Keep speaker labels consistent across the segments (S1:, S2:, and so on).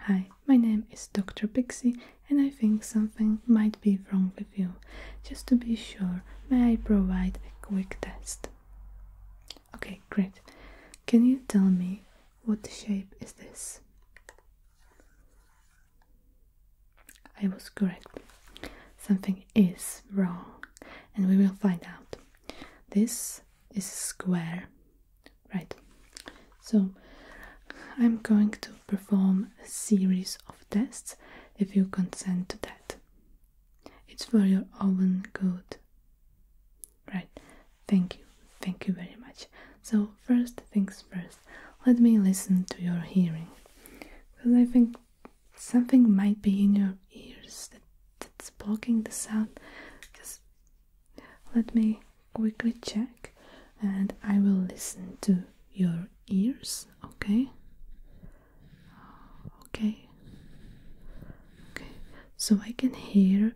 S1: Hi, my name is Dr. Pixie and I think something might be wrong with you. Just to be sure, may I provide a quick test? Okay, great. Can you tell me what shape is this? I was correct. Something is wrong and we will find out. This is square Right, so I'm going to perform a series of tests if you consent to that. It's for your own good. Right, thank you, thank you very much. So, first things first, let me listen to your hearing because I think something might be in your ears that, that's blocking the sound. Let me quickly check and I will listen to your ears, okay? Okay. Okay. So I can hear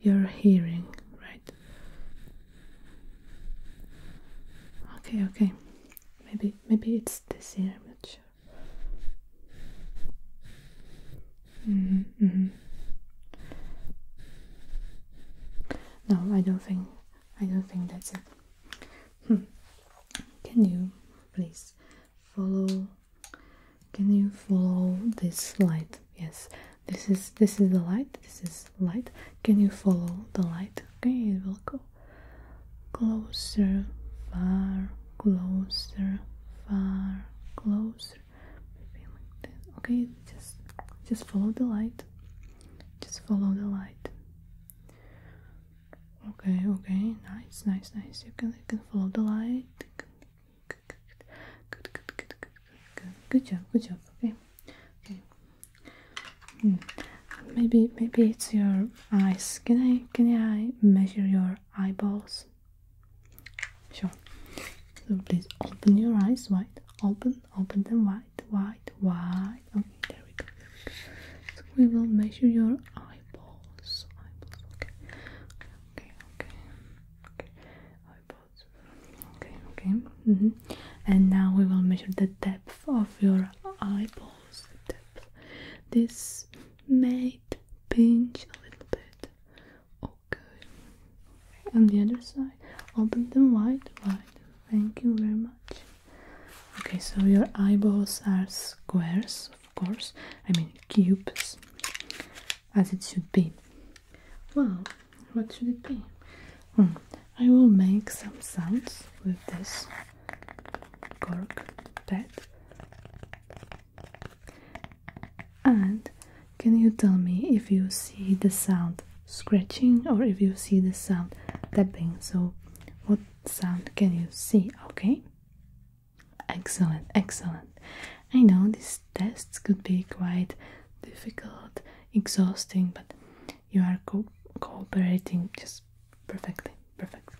S1: your hearing, right? Okay, okay. Maybe maybe it's this ear, I'm not sure. Mm-hmm, mm-hmm. No, I don't think I don't think that's it. Hmm. Can you please follow? Can you follow this light? Yes, this is this is the light. This is light. Can you follow the light? Okay, it will go closer, far, closer, far, closer. Okay, just just follow the light. Just follow the light. Okay, okay, nice, nice, nice. You can you can follow the light. Good, good, good, good, good, good. Good job, good job. Okay, okay. Hmm. Maybe maybe it's your eyes. Can I can I measure your eyeballs? Sure. So please open your eyes wide. Open, open them wide, wide, wide. Okay, there we go. we, go. So we will measure your eyeballs. Eyeballs. Okay. Okay. Okay. Okay. Eyeballs. Okay. Okay. Mm-hmm. And now we will measure the depth of your eyeballs. depth. This may pinch a little bit good. On the other side, open them wide, wide. Thank you very much. Okay, so your eyeballs are squares, of course. I mean cubes, as it should be. Well, what should it be? Hmm, I will make some sounds with this cork pad. And can you tell me if you see the sound scratching or if you see the sound tapping? So, what sound can you see? Okay, excellent, excellent. I know these tests could be quite difficult, exhausting, but you are cooperating just perfectly. Perfect.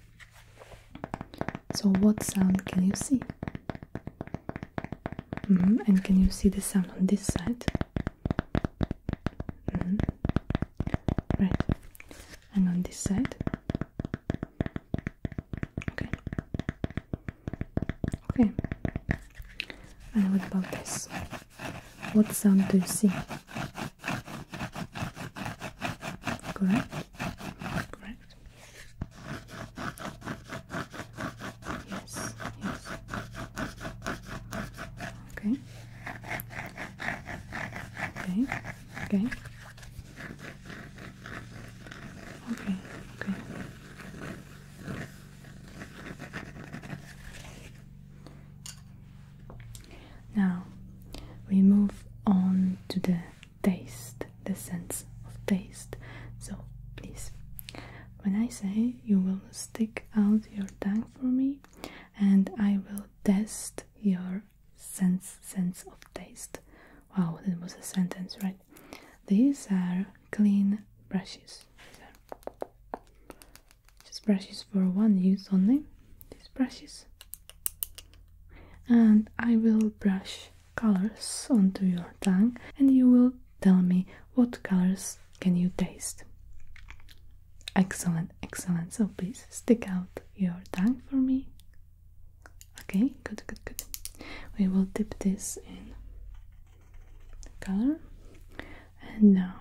S1: So, what sound can you see? Mm-hmm. And can you see the sound on this side? Mm-hmm. Right. And on this side? Okay. Okay. what about this? What sound do you see? Correct? Correct. Yes, yes. Okay. Okay. Okay. Okay. Okay. Now we move on to the taste, the sense of taste. So please, when I say, you will stick out your tongue for me, and I will test your sense sense of taste. Wow, that was a sentence, right? These are clean brushes. Are just brushes for one use only. These brushes, and I will brush colors onto your tongue and you will tell me what colors can you taste. Excellent, excellent. So please stick out your tongue for me. Okay, good, good, good. We will dip this in color. And now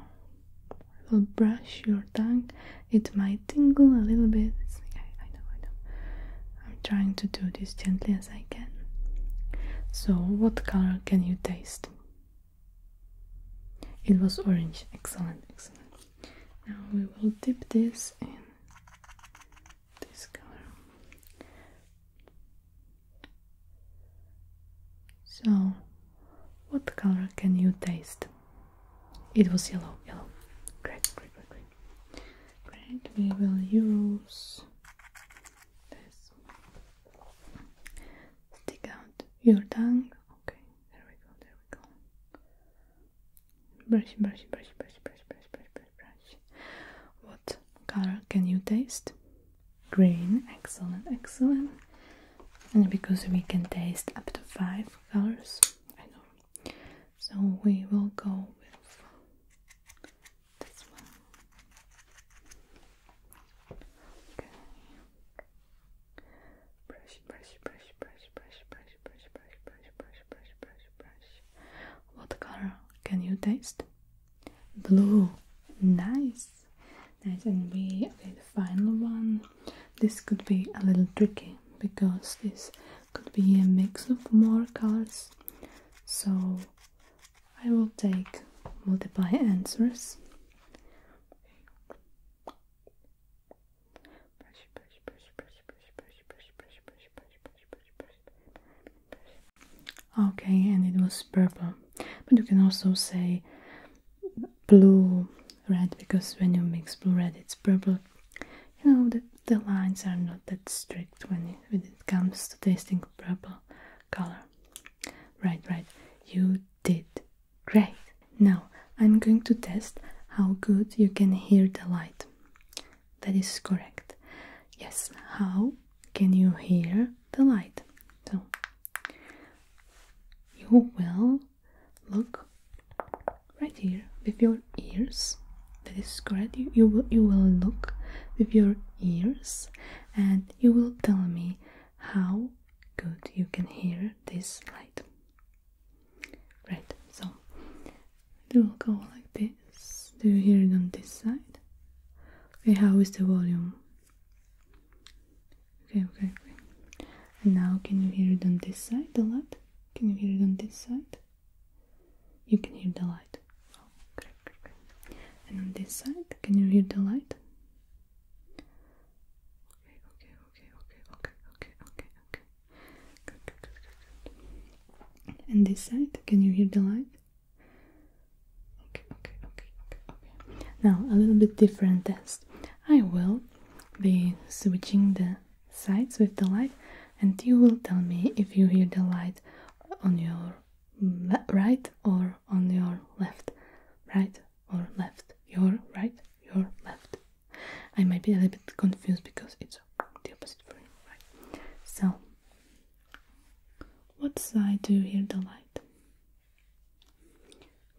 S1: I will brush your tongue. It might tingle a little bit. It's, I know, I know. I'm trying to do this gently as I can. So, what color can you taste? It was orange. Excellent, excellent. Now we will dip this in this color. So, what color can you taste? It was yellow, yellow. Great, great, great, great. Great, we will use this. Stick out your tongue. Okay, there we go, there we go. Brush, brush, brush, brush, brush, brush, brush, brush, brush. What color can you taste? Green, excellent, excellent. And because we can taste up to five colors, I know. So we will go with this one. Okay. Brush, brush, brush, brush, brush, brush, brush, brush, brush, brush, brush, brush, brush. What color can you taste? Blue. Nice. Nice. And we did the final one. This could be a little tricky because this could be a mix of more colors so I will take multiple answers okay and it was purple but you can also say blue red because when you mix blue red it's purple you know the, the lines are not that strict when when it comes to tasting purple color. Right, right. You did great. Now I'm going to test how good you can hear the light. That is correct. Yes. How can you hear the light? So you will look right here with your ears that is correct you, you will you will look with your ears and you will tell me how good you can hear this light right so it will go like this do you hear it on this side okay how is the volume okay okay okay now can you hear it on this side a lot can you hear it on this side you can hear the light. And on this side, can you hear the light? Okay, okay, okay, okay, okay, okay, okay, okay. Good, good, good, good, good. And this side, can you hear the light? Okay, okay, okay, okay, okay. Now, a little bit different test. I will be switching the sides with the light and you will tell me if you hear the light on your right or on your left right or left your right your left i might be a little bit confused because it's the opposite for you right so what side do you hear the light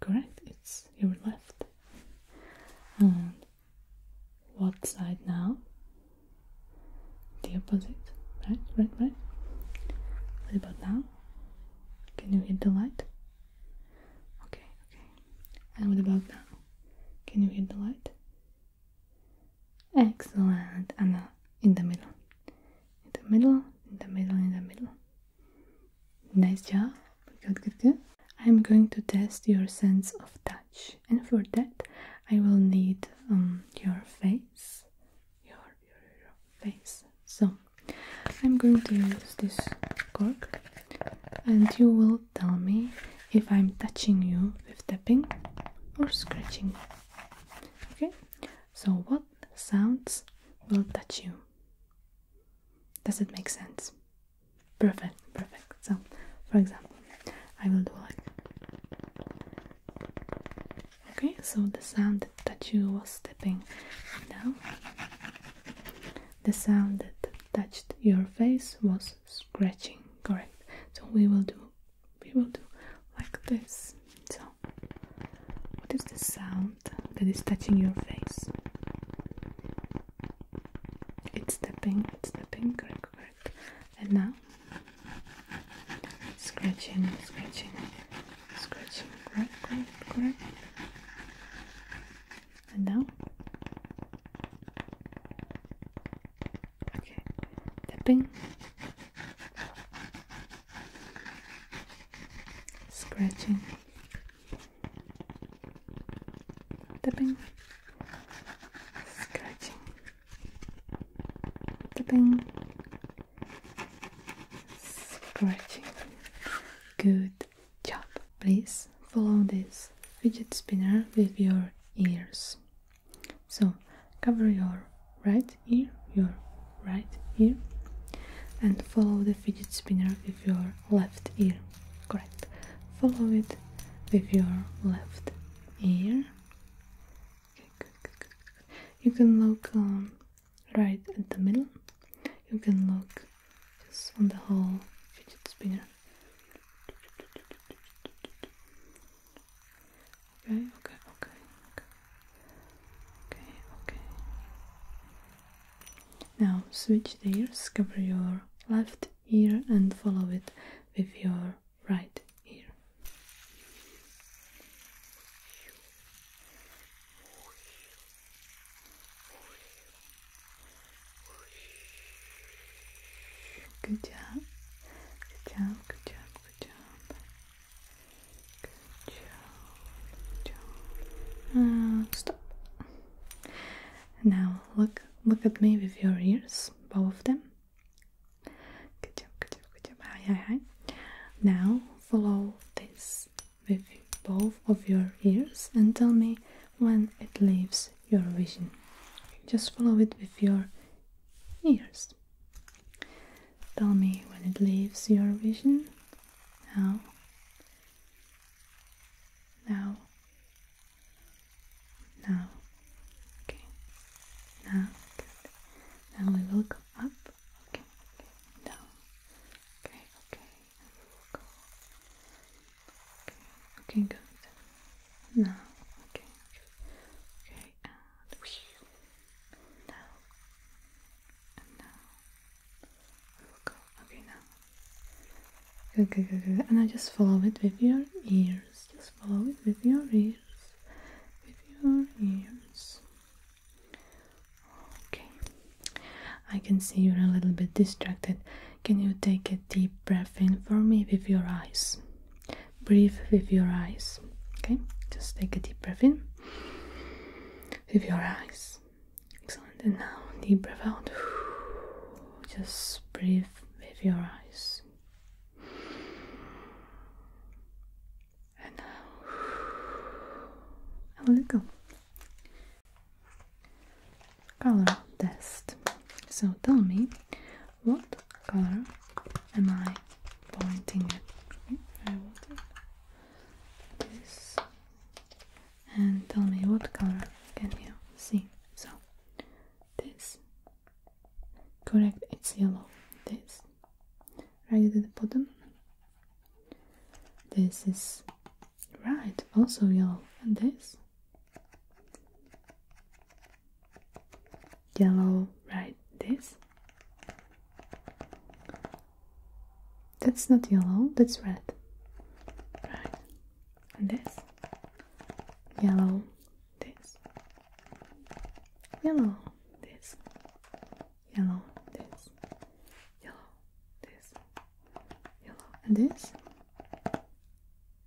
S1: correct it's your left what side now? The opposite, right, right, right. What about now? Can you hit the light? Okay, okay. And what about now? Can you hit the light? Excellent. And in the middle. In the middle, in the middle, in the middle. Nice job. Good, good, good. I'm going to test your sense of touch and for that I will need um, your face your, your, your face so I'm going to use this cork and you will tell me if I'm touching you with tapping or scratching okay so what sounds will touch you does it make sense Perfect, perfect. So, for example, I will do like. Okay, so the sound that you was stepping. now, the sound that touched your face was scratching, correct? So we will do, we will do like this. So, what is the sound that is touching your face? It's stepping. it's stepping. correct? And now, scratching, scratching, scratching, correct, correct, correct. And now, okay, tapping, scratching, tapping scratching the thing, Good job. Please follow this fidget spinner with your ears. So cover your right ear, your right ear, and follow the fidget spinner with your left ear correct follow it with your left ear you can look um, right at the middle you can look just on the whole fidget spinner okay okay okay okay okay okay now switch ears cover your left here and follow it with your right ear. Good job. Good job. Good job. Good job. Good job. Ah, stop. Now look Look at me with your ears, both of them. Good job, good job, good job. Hi, hi, hi. Now follow this with both of your ears and tell me when it leaves your vision. Just follow it with your ears. Tell me when it leaves your vision. Now. Now. Now, okay. Now, good. Now we will go up. Okay, okay. Down. Okay, okay. And we will go. Okay, okay, good. Now, okay, okay. Okay, and whew. Now, and now we will go. Okay, now, Good, good, good, And I just follow it with your ears. Just follow it with your ears. With your ears. Okay. I can see you're a little bit distracted. Can you take a deep breath in for me with your eyes? Breathe with your eyes. Okay? Just take a deep breath in with your eyes. Excellent. And now deep breath out. Just breathe with your eyes. And now I'll let go. Color test. So tell me what color am I pointing at? and tell me what color can you see. So, this, correct, it's yellow. This, right at the bottom. This is right, also yellow, this yellow, right? This that's not yellow, that's red, right? this yellow this yellow this yellow this yellow this yellow and this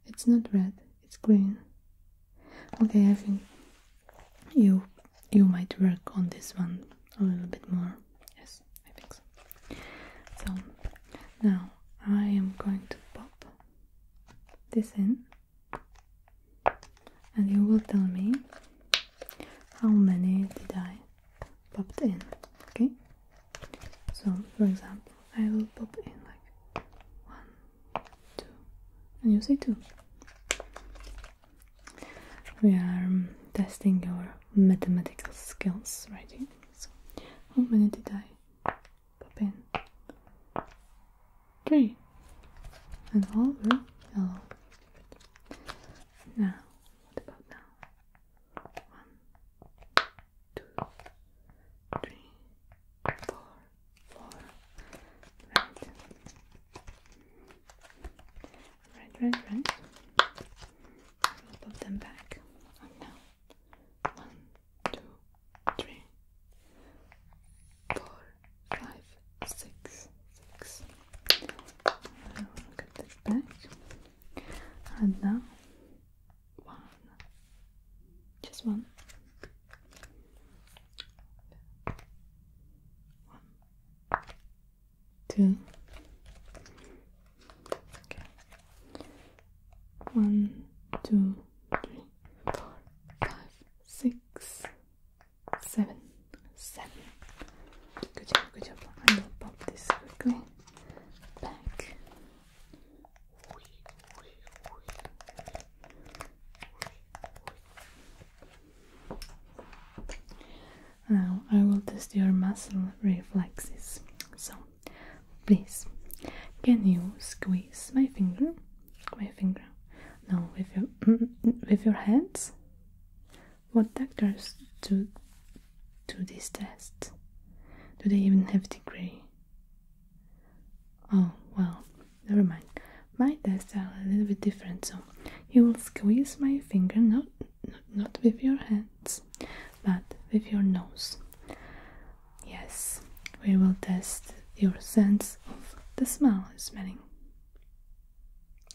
S1: it's not red it's green okay I think you you might work on this one a little bit more yes I think so. So now I am going to pop this in, and you will tell me how many did I popped in. Okay. So for example, I will pop in like one, two, and you say two. We are um, testing your mathematical skills right here. So, how many did I pop in? Three. And all were Now, what about now? One, two, three, four, four. Red. Red, red, red. I'll put them back on now. One, two, three, four, five, six, six. I'll get this back. And now one. Just one. One two, okay. One, two, three, four, five, six, seven, seven. Good job, good job. I will pop this quickly back. Now I will test your muscle reflexes. So, please, can you squeeze my finger? My finger? No, with your with your hands. What doctors do do this test? Do they even have a degree? Oh well, never mind. My tests are a little bit different, so you will squeeze my finger, not not with your hands but with your nose. Yes, we will test your sense of the smell smelling.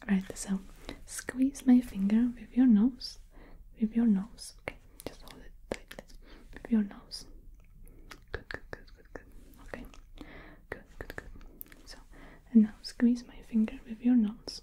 S1: Right, so squeeze my finger with your nose, with your nose. Okay, just hold it tightly with your nose. Good, good, good, good, good. Okay, good, good, good. So, and now squeeze my finger with your nose.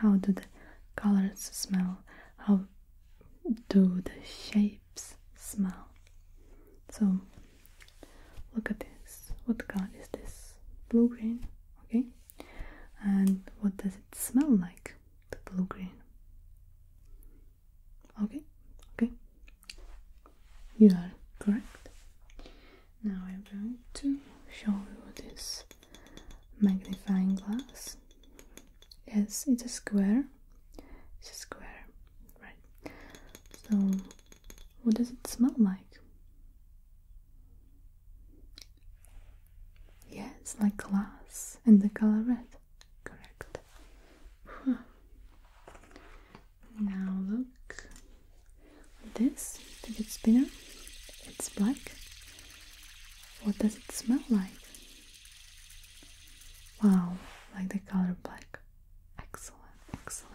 S1: How do the colors smell? How do the shapes smell? So look at this. What color is this? Blue green, okay? And what does it smell like? The blue green. Okay, okay. You are correct. Now I'm going to show you this magnifying glass. Yes, it's a square. It's a square, right? So, what does it smell like? Yes, like glass and the color red. Correct. Now look this, the good spinner. It's black. What does it smell like? Wow, like the color black. Excellent, excellent.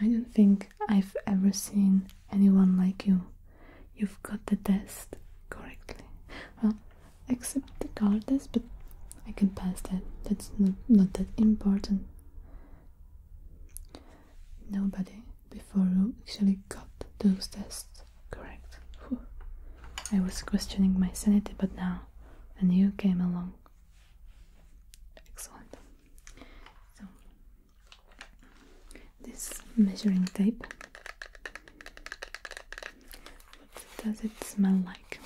S1: I don't think I've ever seen anyone like you. You've got the test correctly. Well, except the color test, but I can pass that. That's not that important nobody before you actually got those tests correct. I was questioning my sanity, but now and you came along. Excellent. So, this measuring tape. What does it smell like?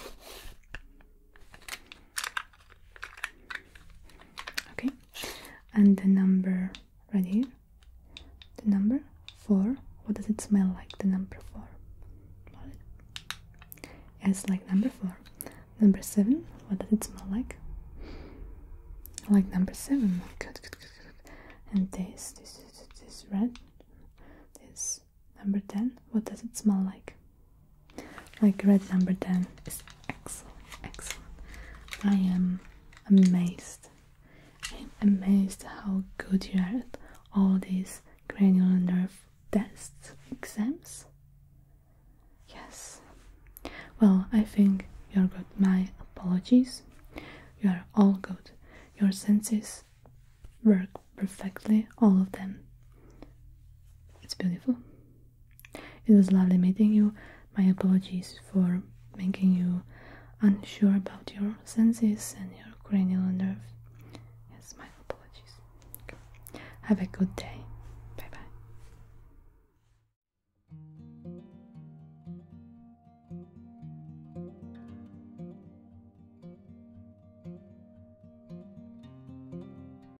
S1: Okay, and the number right here, the number four. What does it smell like? The number four. Yes, like number four. Number seven. What does it smell like? Like number seven. Good, good, good, good. And this, this, this, this red. This number ten. What does it smell like? Like red number 10 is excellent, excellent. I am amazed. I'm amazed how good you are at all these cranial nerve tests, exams. Yes. Well, I think you're good. My apologies. You are all good. Your senses work perfectly, all of them. It's beautiful. It was lovely meeting you. My apologies for making you unsure about your senses and your cranial nerve. Yes, my apologies. Have a good day. Bye bye.